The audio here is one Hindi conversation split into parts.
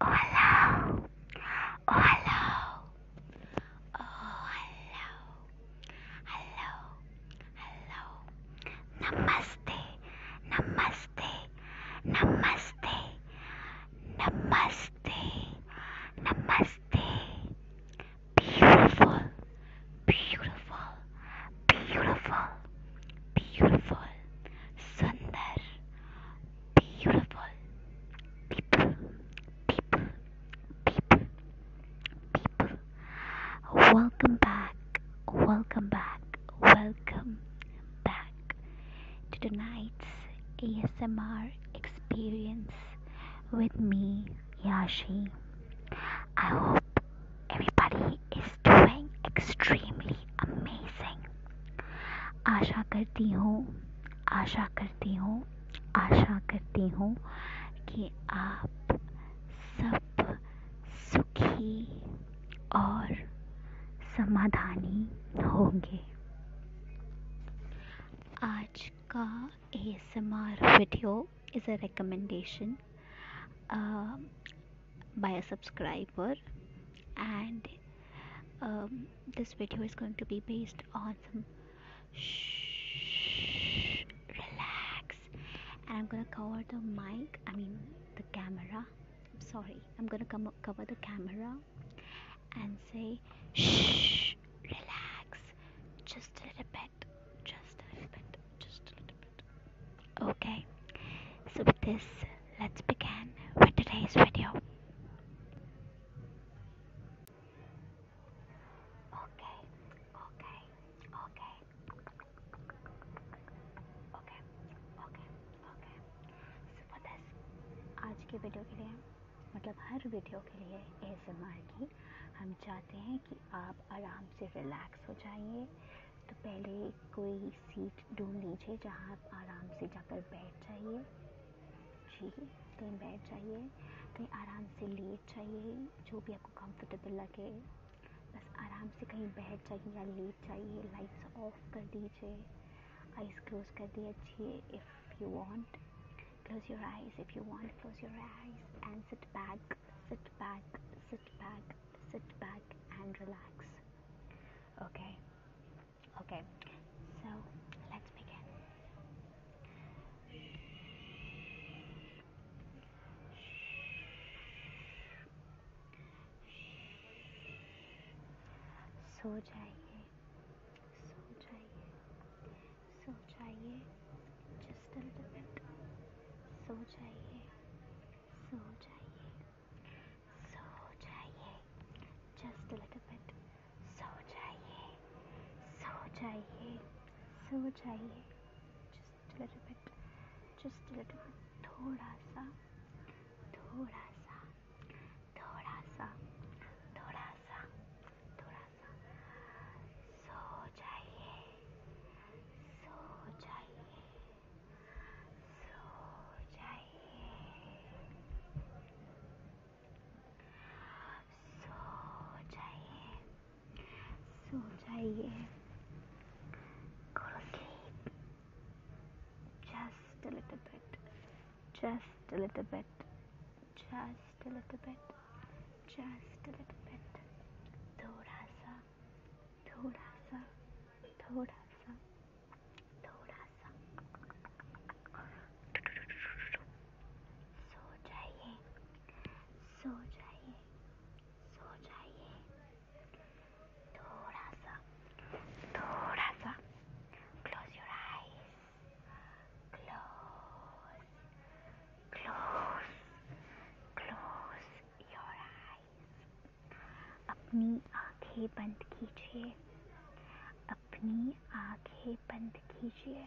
Oh hello, oh hello, oh hello, hello, hello. Namaste, namaste, namaste, namaste, namaste, namaste, beautiful, beautiful, beautiful, beautiful, sundar, beautiful, people, people, people, people. Welcome back, welcome back, welcome back to tonight's ASMR experience with me, yeah, she. I hope everybody is doing extremely amazing. आशा करती हूँ आशा करती हूँ आशा करती हूँ कि आप सब सुखी और समाधानी होंगे आज का ASMR video is a recommendation um, by a subscriber, and um, this video is going to be based on some shh, relax, and I'm gonna cover the mic. I mean the camera. I'm sorry. I'm gonna come cover the camera and say shh, relax, just a little bit just a little bit, just a little bit. Okay, so with this, let's begin with today's video. Okay, okay, okay. Okay, okay, okay. So for this, आज के वीडियो के लिए मतलब हर वीडियो के लिए एस की नहीं हम चाहते हैं कि आप आराम से रिलैक्स हो जाइए तो पहले कोई सीट ढूंढ लीजिए जहाँ आप आराम से जाकर बैठ जाइए जी कहीं बैठ जाइए कहीं आराम से लेट जाइए जो भी आपको कंफर्टेबल लगे बस आराम से कहीं बैठ जाइए या लेट जाइए लाइट्स ऑफ कर दीजिए आइस क्लोज कर दीजिए if if you want. Close your eyes if you want. Close your eyes and sit back, sit back, sit back, sit back and relax. Okay. Okay. So let's begin. सो जाइए सो जाइए थोड़ा सा थोड़ा सा थोड़ा सा थोड़ा सा थोड़ा So, जाइए सो जाइए just a little bit just a little bit just just a little bit, just a little bit. Thoda sa, thoda sa, thoda sa, thoda sa. सो जाइए, Close your eyes. Close, close, close your eyes. अपनी आंखें बंद कीजिए अपनी आंखें बंद कीजिए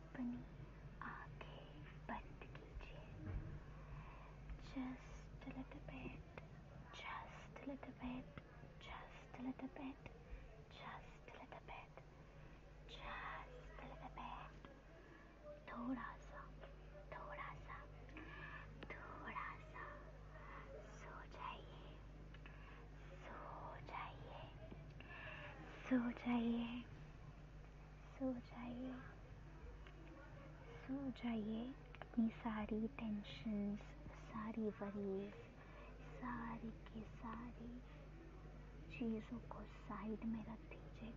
अपनी आंखें बंद कीजिए just little bit just a little bit just a little bit just a little bit just a little bit थोड़ा सा थोड़ा सा थोड़ा सा सो जाइए सो जाइए सो जाइए सो जाइए सो जाइए अपनी सारी टेंशन्स सारी वरीज सारी की सारी चीज़ों को साइड में रख दीजिए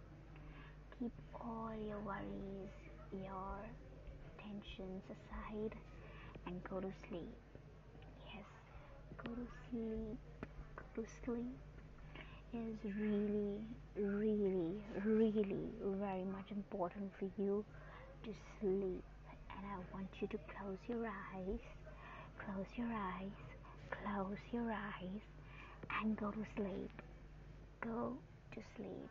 keep all your worries your tension side and go to sleep is really, really, really very much important for you to sleep. And I want you to close your eyes, close your eyes, close your eyes, and go to sleep. Go to sleep.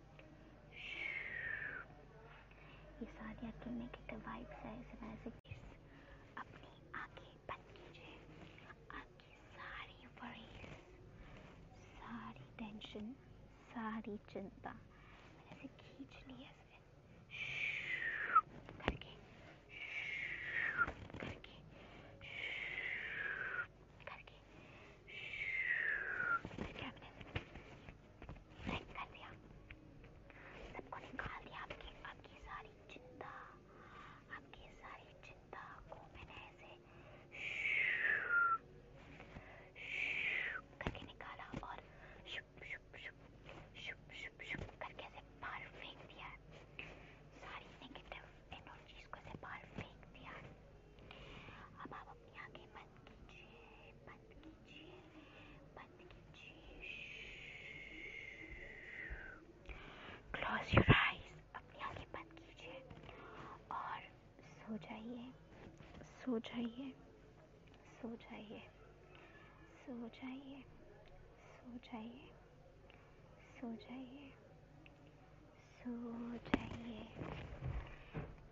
ये सारी एक्टर मेकिंग वाइब्स है इसे वैसे अपनी आंखें बंद कीजिए आपकी सारी वरीज सारी टेंशन सारी चिंता ऐसे खींच ली है इसमें करके करके करके कर दिया सबको निकाल दिया आपकी आपकी सारी चिंता आपकी सारी चिंता को मैंने ऐसे करके निकाला और शुप शुप शुप शुप शुप शुप करके ऐसे बाहर फेंक दिया सारी नेगेटिव एनर्जीज को ऐसे बाहर फेंक दिया अब आप अपनी आंखें मत कीजिए मत कीजिए मत कीजिए क्लोज योर आइज अपनी आंखें बंद कीजिए और सो जाइए सो जाइए सो जाइए सो जाइए सो जाइए सो जाइए सो जाइए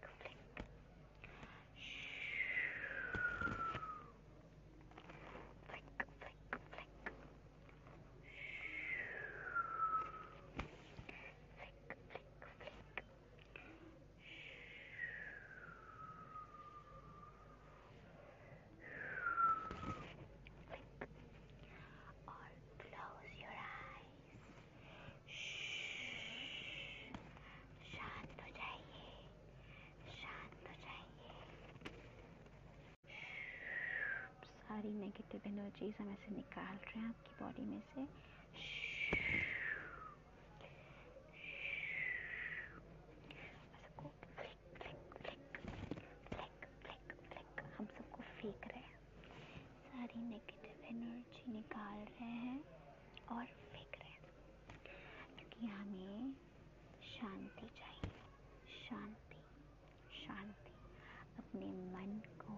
flick, flick, flick. Flick, flick, flick. Flick. Or close your eyes. Negative energies हम ऐसे निकाल रहे हैं आपकी बॉडी में से हम सबको फेंक रहे हैं सारी नेगेटिव एनर्जी निकाल रहे हैं और फ्रेग्रेंस क्योंकि हमें शांति चाहिए शांति शांति अपने मन को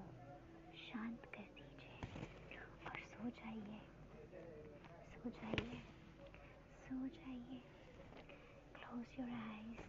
शांत कर दीजिए और सो जाइए सो जाइए सो जाइए क्लोज योर आइज़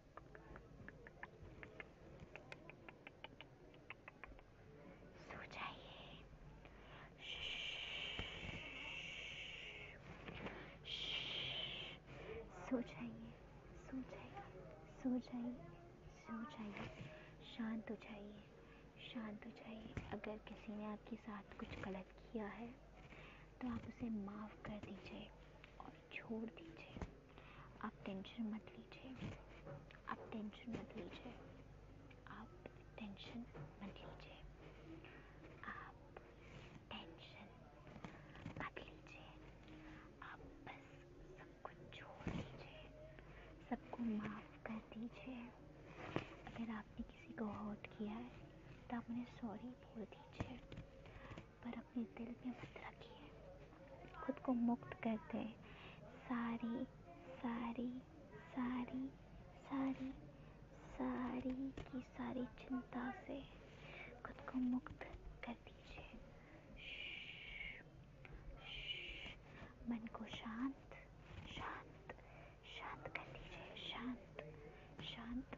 शांत हो जाइए शांत हो जाइए अगर किसी ने आपके साथ कुछ गलत किया है तो आप उसे माफ़ कर दीजिए और छोड़ दीजिए आप टेंशन मत लीजिए आप टेंशन मत लीजिए आप टेंशन मत लीजिए बस सब कुछ छोड़ दीजिए सबको माफ़ कर दीजिए अगर आपने किसी को हॉट किया है तो आप उन्हें सॉरी बोल दीजिए पर अपने दिल में मत रखिए खुद को मुक्त करते दें सारी सारी सारी सारी सारी की सारी चिंता से खुद को मुक्त कर दीजिए मन को शांत शांत शांत कर दीजिए शांत शांत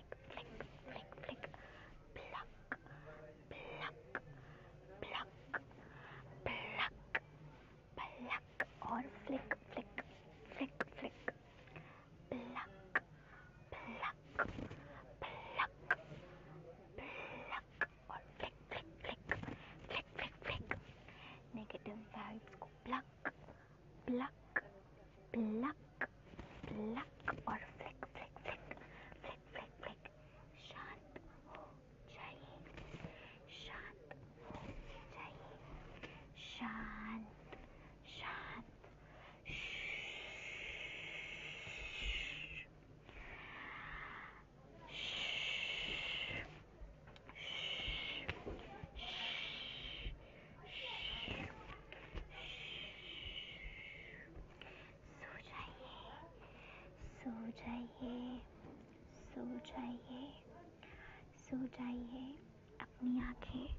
flick, flick, flick, pluck, pluck, pluck, pluck, pluck, or flick, flick, flick, flick, pluck, pluck, pluck, pluck, or flick, flick, flick, flick, flick, flick. Negative sides go pluck, pluck pluck, pluck or flick, flick, flick, flick, flick, flick. शांत हो जाइए शांत हो जाइए शांत शांत सो जाइए सो जाइए सो जाइए सो जाइए अपनी आंखें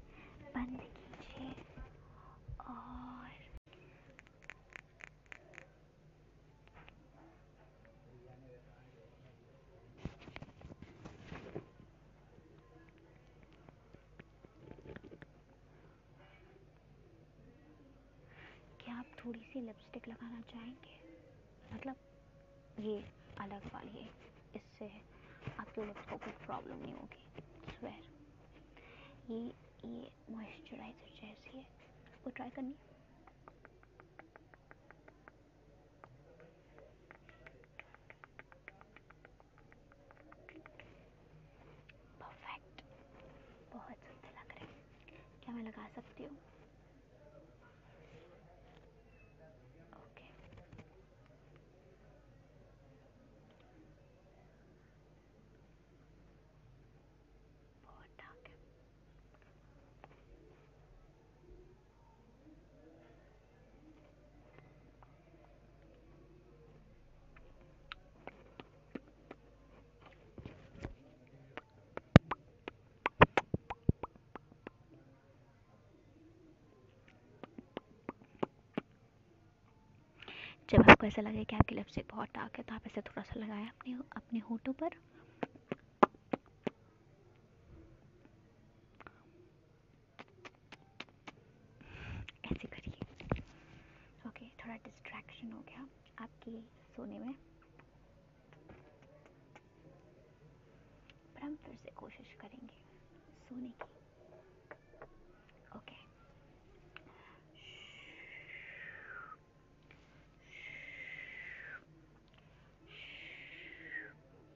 बंद कीजिए और क्या आप थोड़ी सी लिपस्टिक लगाना चाहेंगे मतलब ये अलग वाली है इससे आपके लिप्स को कोई प्रॉब्लम नहीं होगी स्वेर ये ये मॉइस्चराइजर जैसी है आपको ट्राई करनी परफेक्ट बहुत सुंदर लग रहे हैं क्या मैं लगा सकती हूँ ओके बहुत डार्क है जब आपको ऐसा लगे कि आपकी लिपस्टिक बहुत डार्क है तो आप ऐसे थोड़ा सा लगाएं अपने अपने होठों पर ऐसे करिए ओके थोड़ा डिस्ट्रैक्शन हो गया आपके सोने में पर हम फिर से कोशिश करेंगे सोने की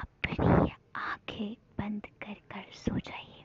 अपनी आंखें बंद कर कर सो जाइए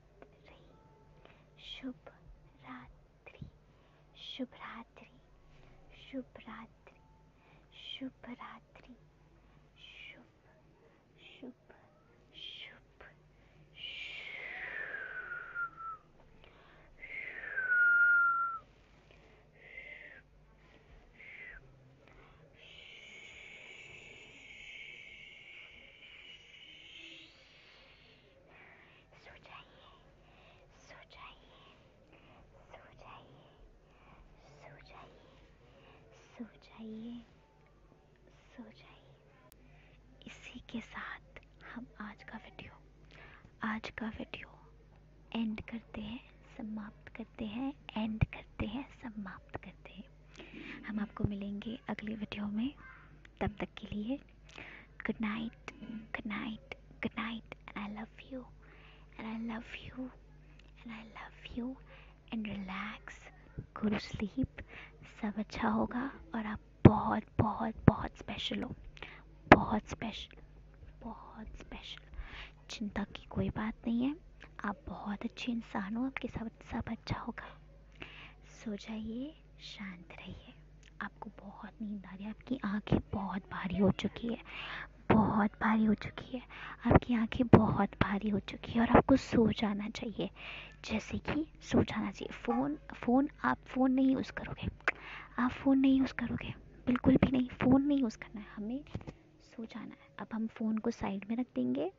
रात्रि शुभ रात्रि शुभ रात्रि शुभ रात्रि शुभ रात्रि शुभ शुभ शुभ इसी के साथ हम आज का वीडियो आज का वीडियो एंड करते हैं समाप्त करते हैं एंड करते हैं समाप्त करते हैं हम आपको मिलेंगे अगले वीडियो में तब तक के लिए good night good night good night and I love you and I love you and I love you and relax go to sleep सब अच्छा होगा और आप बहुत बहुत बहुत स्पेशल हो बहुत स्पेशल बहुत स्पेशल चिंता की कोई बात नहीं है आप बहुत अच्छे इंसान हो आपके साथ सब अच्छा होगा सो जाइए शांत रहिए आपको बहुत नींद आ रही है आपकी आंखें बहुत भारी हो चुकी है बहुत भारी हो चुकी है आपकी आंखें बहुत भारी हो चुकी है और आपको सो जाना चाहिए जैसे कि सो जाना चाहिए फ़ोन फ़ोन आप फ़ोन नहीं यूज़ करोगे आप फ़ोन नहीं यूज़ करोगे बिल्कुल भी नहीं फ़ोन नहीं यूज़ करना है हमें सो जाना है अब हम फ़ोन को साइड में रख देंगे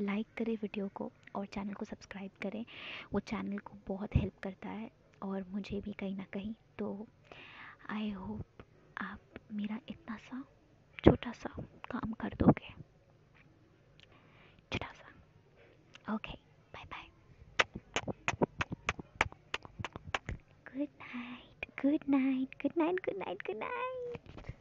लाइक करें वीडियो को और चैनल को सब्सक्राइब करें वो चैनल को बहुत हेल्प करता है और मुझे भी कहीं ना कहीं तो आई होप आप मेरा इतना सा छोटा सा काम कर दोगे छोटा सा okay bye bye good night good night good night good night good night